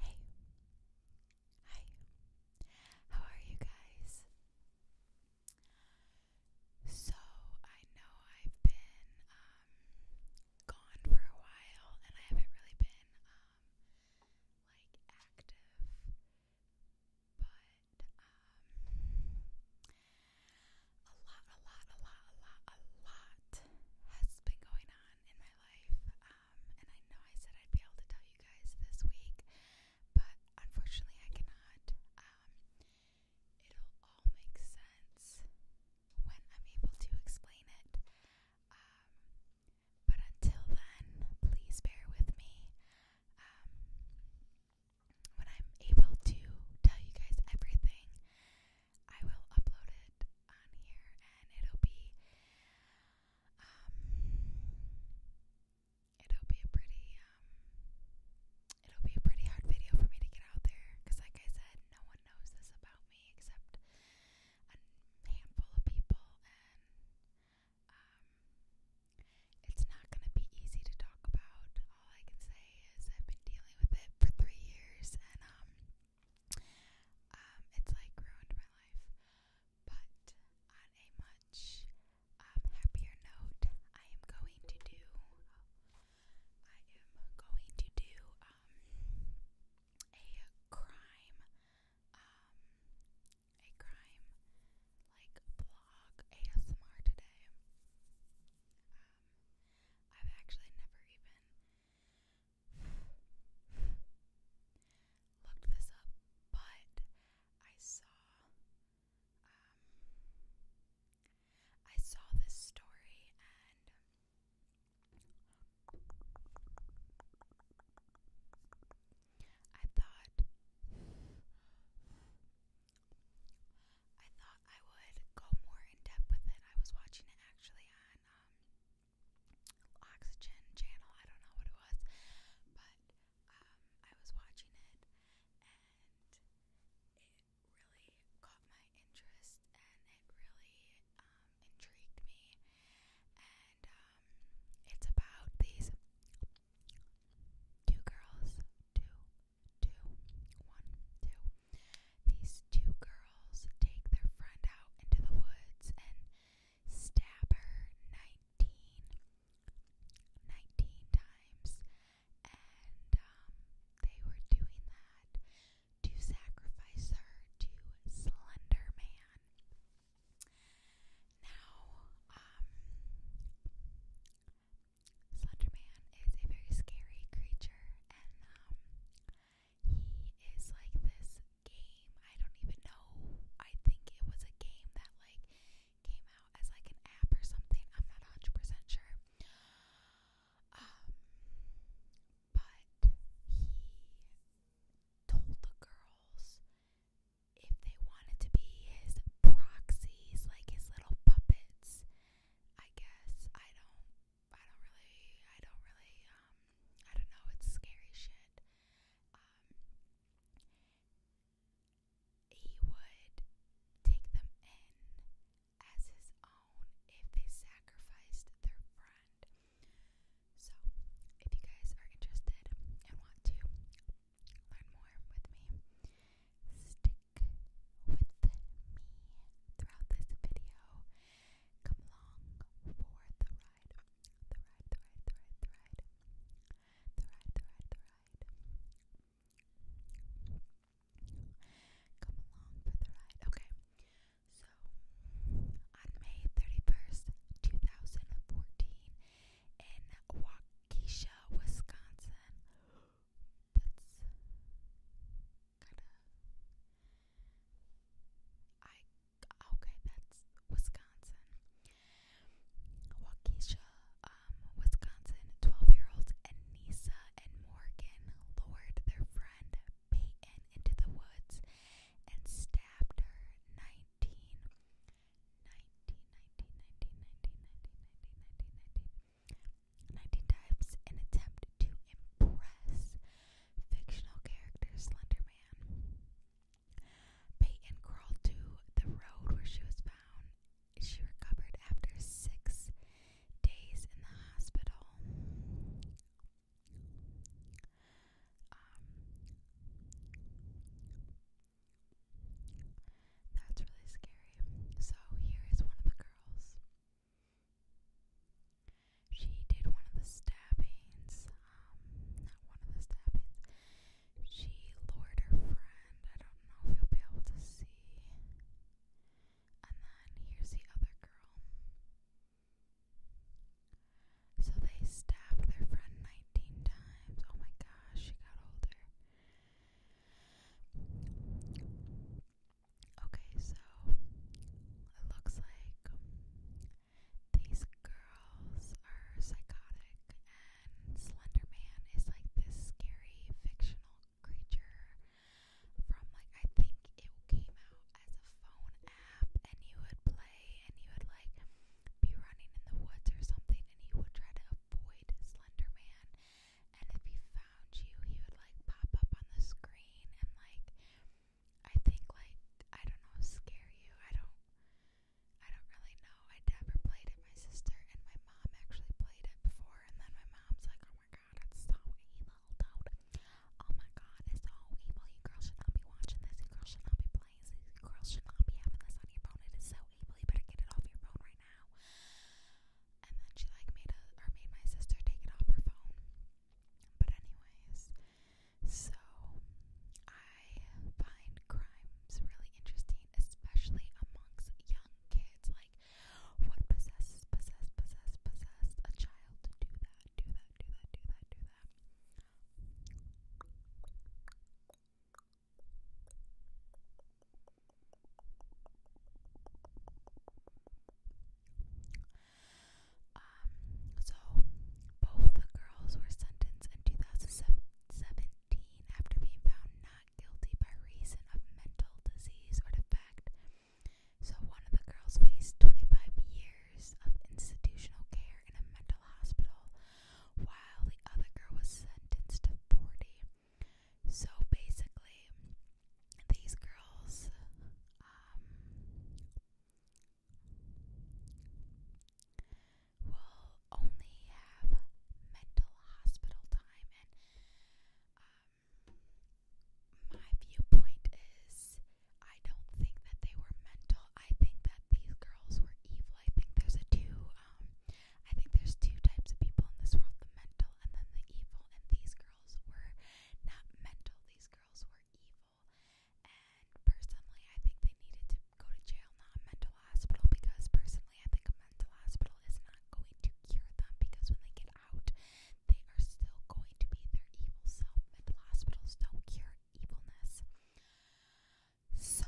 Hey, hi, how are you guys? So, I know I've been um, gone for a while and I haven't really been um, like active, but um, a lot, a lot, a lot, a lot, a lot has been going on in my life. Um, and I know I said I'd be able to tell you guys this week, but unfortunately, I cannot. Um, it'll all make sense when I'm able to explain it. Um, but until then, please bear with me. Um, when I'm able to tell you guys everything, I will upload it on here and it'll be um it'll be a pretty um it'll be a pretty hard video for me to get out there cuz like I said no one knows this about me except a handful of people and um it's not going to be easy to talk about all I can say is I've been dealing with it for three years, and um, um it's like ruined my life. But on a much um, happier note, I am going to do. I am going to do um a crime, um, a crime like blog ASMR today. Um, I've actually never even looked this up, but I saw um, I saw this story and I thought I thought I would go more in depth with it. I was watching it actually on um, Oxygen channel. I don't know what it was, but um, I was watching it and it really caught my interest and it really um, intrigued me. And um, it's about these two girls, two two, one, two. These two girls take their friend out into the woods and stab her 19, times. And um, they were doing that to sacrifice her to Slender Man. Now, um, Slenderman is a very scary creature, and um, he is like this game. I don't even know. I think it was a game that like came out as like an app or something. I'm not 100% sure. Um, but he told the girls if they wanted to be his proxies, like his little puppet habits. I guess I don't I don't really I don't really um I don't know it's scary shit. Um he would take them in as his own if they sacrificed their friend. So, if you guys are interested and want to learn more with me, stick throughout this video. Come along for the ride. The ride, the ride, the ride, the ride. The ride, the ride, the ride. Come along for the ride. Okay. So, on May 31st, 2014, in Waukesha, Wisconsin. I. Okay, that's Wisconsin. Waukesha, um, Wisconsin. 12 year olds Anissa and Morgan lured their friend Peyton into the woods and stabbed her 19, 19, 19, 19, 19, 19, 19, 19, 19, times in attempt to impress fictional character Slenderman. Peyton crawled to the road where she was found. She recovered after six days in the hospital. That's really scary. So here is one of the girls. She did one of the stabbings. Um, not one of the stabbings. She lured her friend. I don't know if you'll be able to see. And then here's the other girl. So they stabbed their friend 19 times. Oh my gosh, she got older. Okay, so it looks like these girls are psychotic, and Slender Man is like this scary fictional creature from like I think it came out as a phone app, and you would play and you would like be running in the woods or something and he would try to avoid Slender Man. And if he found you, he would like pop up on the screen and like I think like I don't know, scare you. I don't I don't really know. I never played it. My sister and my mom actually played it before and then my mom's like, Oh my god, it's so evil, dude. Oh my god, it's so evil. You girls should not be watching this. You girls should not be playing Girls should not be having this on your phone. It is so evil. better get it off your phone right now. And then she like made a or made my sister take it off her phone. But anyways, so I find crimes really interesting, especially amongst young kids. Like what possesses possessed possessed possessed a child to do that, do that, do that, do that, do that. Um, so both the girls were sentenced in 2017 after being found not guilty by reason of mental disease or defect. So one of the girls faced 25 years of institutional care in a mental hospital, while the other girl was sentenced to 40. So basically, these girls, um, will only have mental hospital time, and um, my viewpoint is I don't think that they were mental. I think that these girls were evil. I think there's a two, um, I think there's two types of people in this world, the mental and then the evil. And these girls were not mental, these girls were evil. And personally, I think they needed to go to jail, not a mental hospital, because personally, I think a mental hospital is not going to cure them because when they get out, they are still going to be their evil self. Mental hospitals don't cure evilness. So,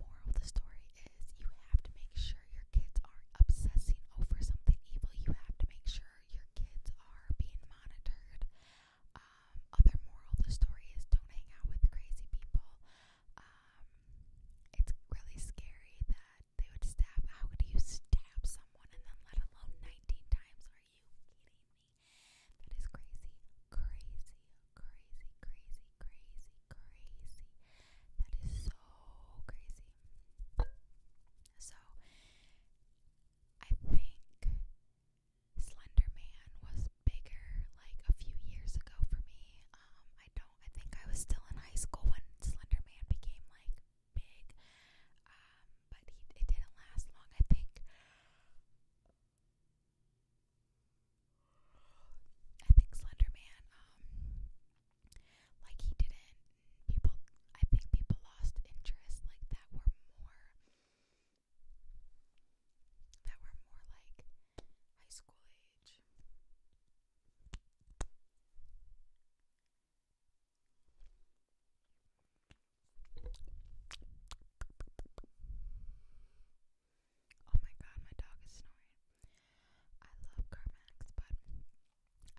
moral of the story is you have to make sure your kids aren't obsessing over something evil. You have to make sure your kids are being monitored. Um, other moral of the story is don't hang out with crazy people. Um, it's really scary that they would stab. How could you stab someone and then let alone 19 times? Are you kidding me? That is crazy, crazy, crazy, crazy, crazy, crazy. That is so crazy. So, I think Slender Man was bigger like a few years ago for me. Um, I don't, I think I was still in high school when Slender Man became like big, um, but it didn't last long. I think. I think Slenderman, um, like he didn't. People, I think people lost interest. Like that were more. That were more like high school age. Oh my god, my dog is snoring.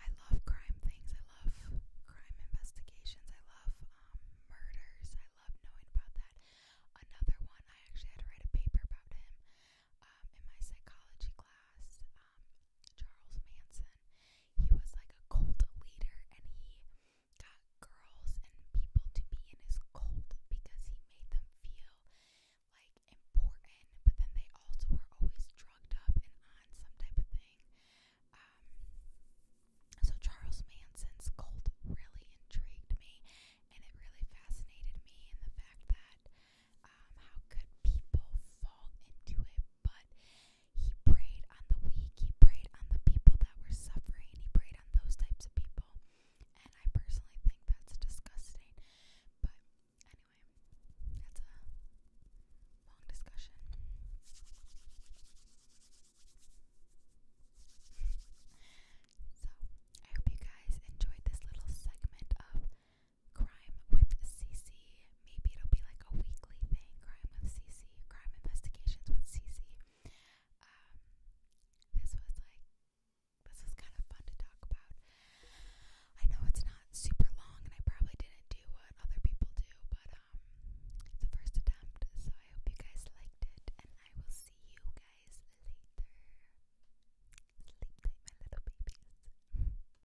I love CarMax, but I love crime things. I love crime investigations. I love um, murders. I love knowing about that. Another one, I actually had to write a paper about him um, in my psychology class, um, Charles Manson he was like a cult leader and he got girls and people to be in his cult because he made them feel like important, but then they also were always drugged up and on some type of thing. Um, so Charles Manson's cult really intrigued me, and it really fascinated me in the fact that um, how could people fall into it, but he prayed on the weak, he prayed on the people that were suffering, he prayed on those types of people. And I personally think that's disgusting. But anyway, that's a long discussion. so, I hope you guys enjoyed this little segment of crime with CC. Maybe it'll be like a weekly thing. Crime with CC. Crime investigations with CC. Um, this was like this was kind of fun to talk about. I know it's not super long, and I probably didn't do what other people do, but um, it's the first attempt. So I hope you guys liked it, and I will see you guys later. Sleep tight, my little babies.